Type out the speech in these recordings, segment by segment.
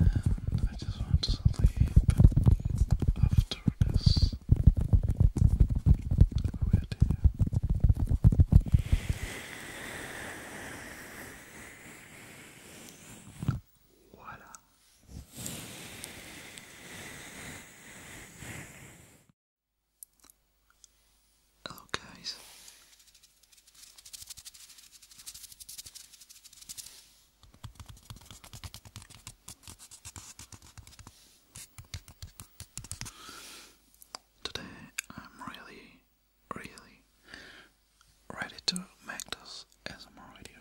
And I just want to sleep after this Voila. Hello Today I'm really, really ready to make this ASMR video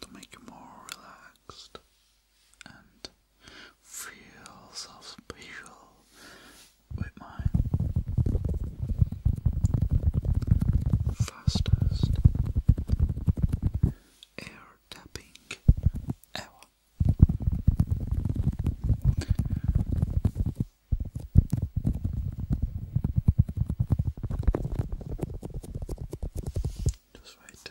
to make you more relaxed and feel so special with my fastest air tapping ever. Just wait.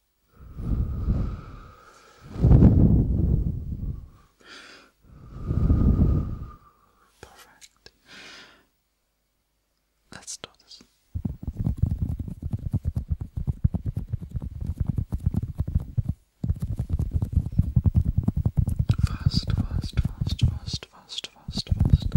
Perfect. Let's do this. Fast, fast, fast, fast, fast, fast, fast.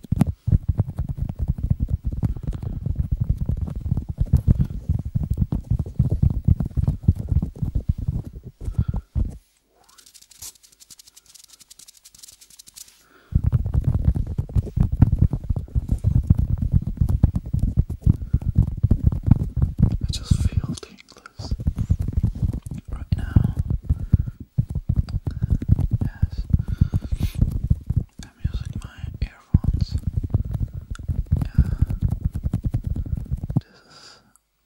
I just feel tingles right now. Yes. I'm using my earphones. Uh, this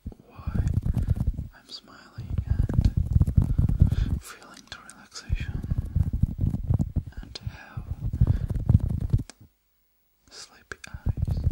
is why I'm smiling and feeling the relaxation and have sleepy eyes.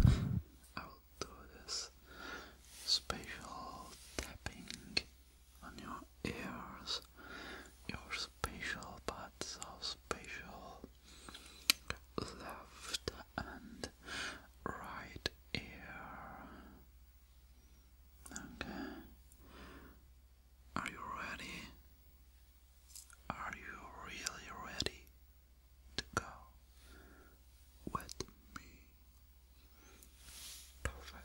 I will do this special tapping on your ears. Your special parts of special left and right ear. Okay. Are you ready? Are you really ready? to go with me. Perfect.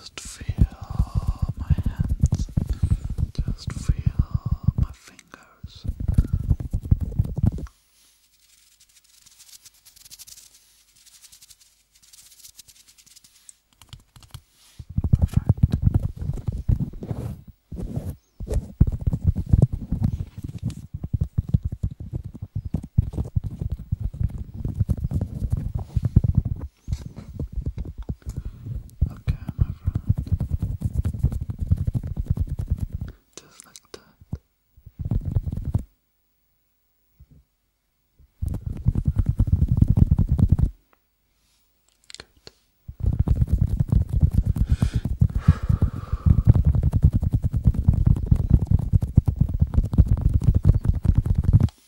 Just feel my hands. Just feel my fingers. Okay, my friend. Just like that.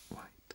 White.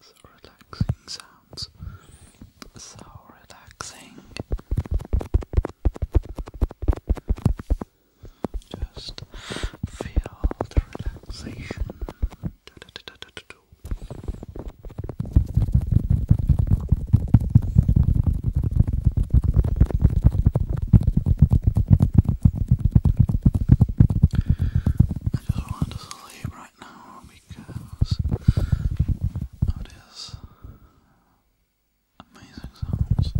the relaxing sounds. So relaxing. Just feel the relaxation. I just want to sleep right now because it is amazing sounds.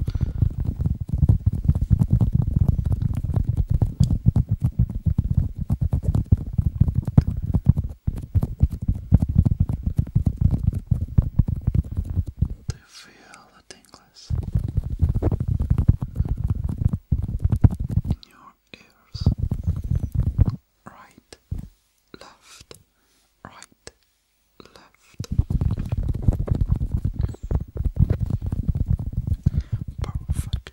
To feel the tingles ears. Right, left, right, left. Perfect.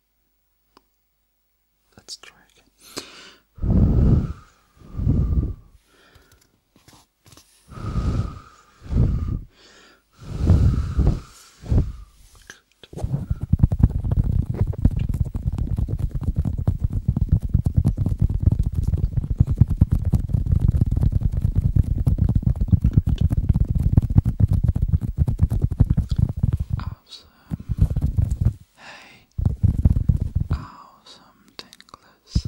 Let's try again. Good. Good. Awesome. Hey. Awesome tinglers.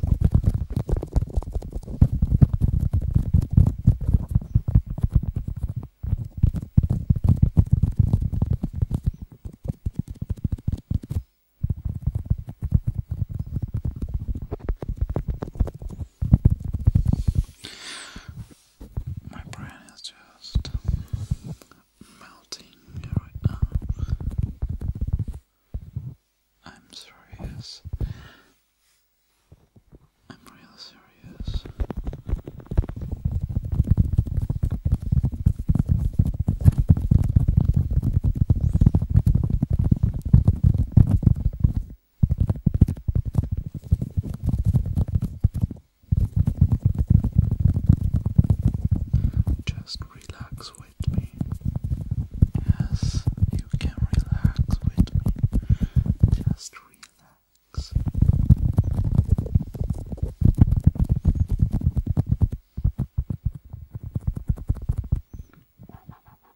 My brain is just melting right now. I'm serious. I'm really serious. Just relax with me. Yes, you can relax with me. Just relax.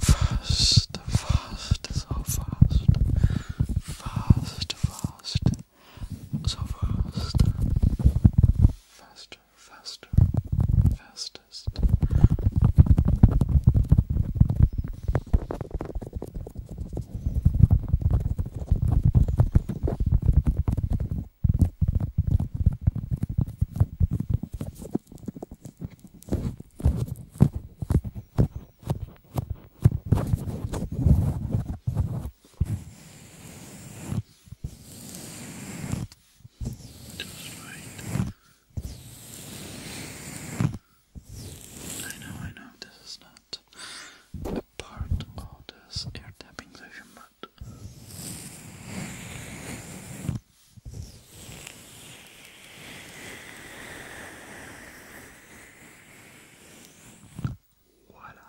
Fast, fast, so fast, fast, fast, so fast, faster, faster, fastest. Just right. I know, I know, this is not a part of this air tapping session, but voila.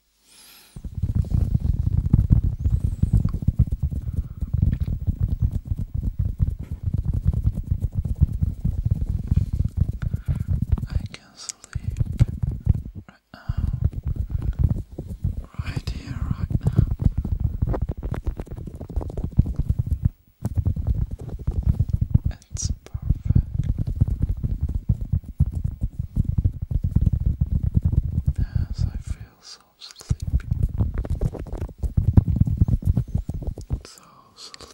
I can sleep right now, right here, right now. It's perfect. Yes, I feel ourselves sleepy. So sleepy.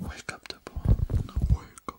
Wake up, Deborah. No, wake up.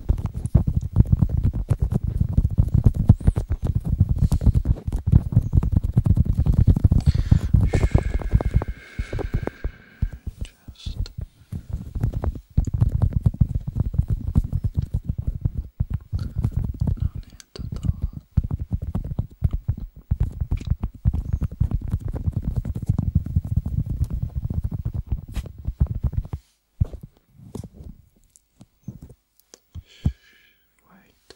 Just no need to talk. Wait. Right.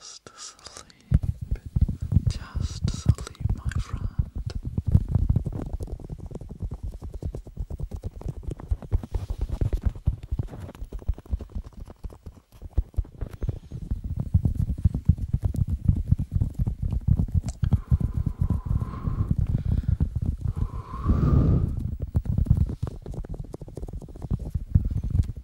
Just sleep just sleep, my friend. It's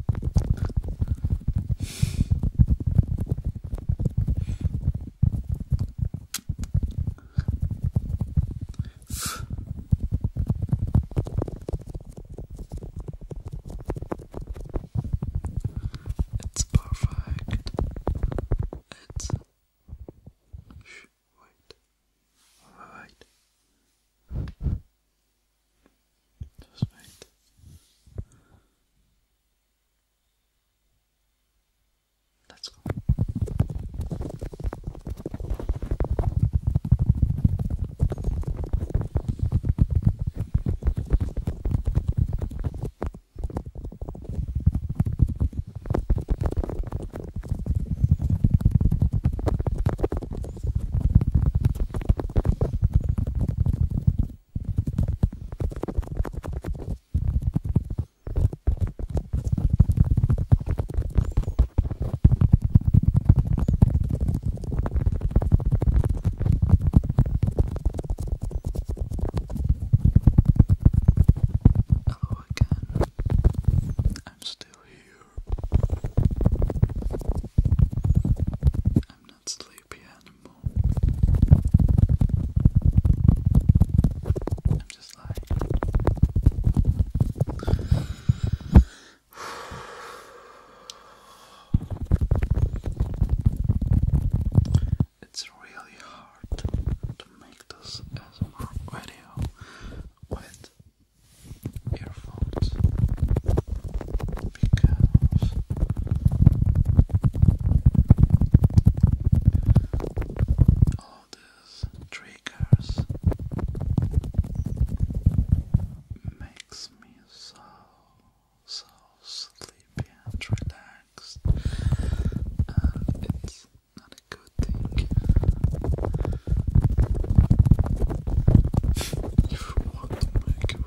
perfect. It's Shh, wait. Wait. Just wait. Let's go. Hello oh, again. I'm still here. I'm that sleepy animal. I'm just like It's really hard to make this as a video with earphones all of triggers makes me so so sleepy and relaxed and it's not a good thing you want to make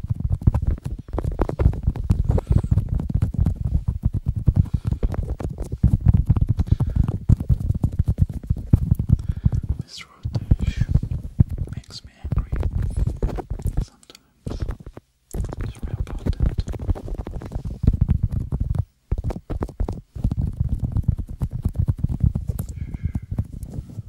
This road makes me angry sometimes. Sorry about that.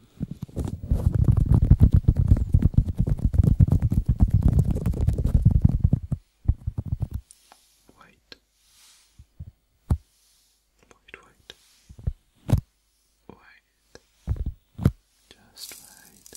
White, white, white, white, just white.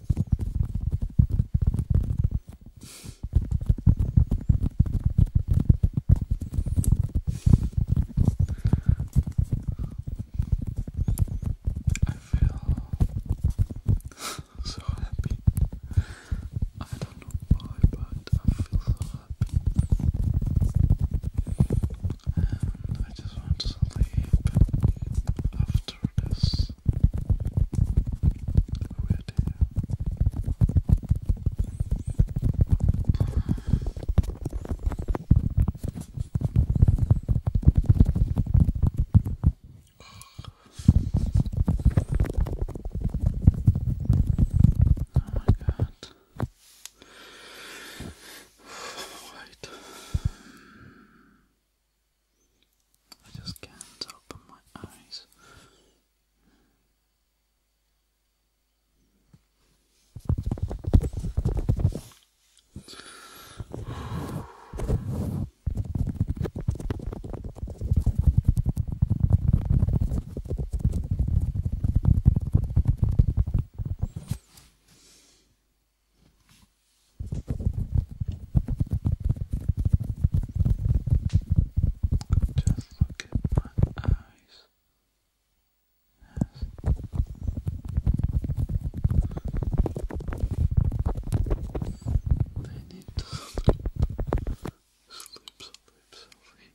I feel so happy. I don't know why, but I feel so happy. I just want to sleep after surface. we Oh my god. Wait. I just can't open my eyes. Just look at my eyes. They need sleep, sleep, sleep.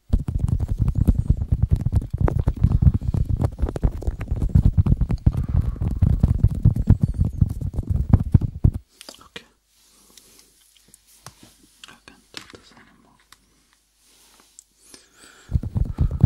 Okay. I can't do this anymore. Okay.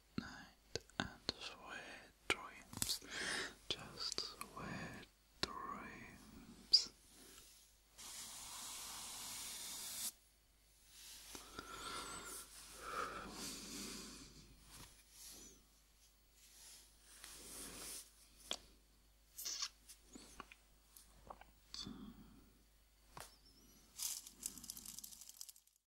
night and sweet dreams. Just sweet dreams.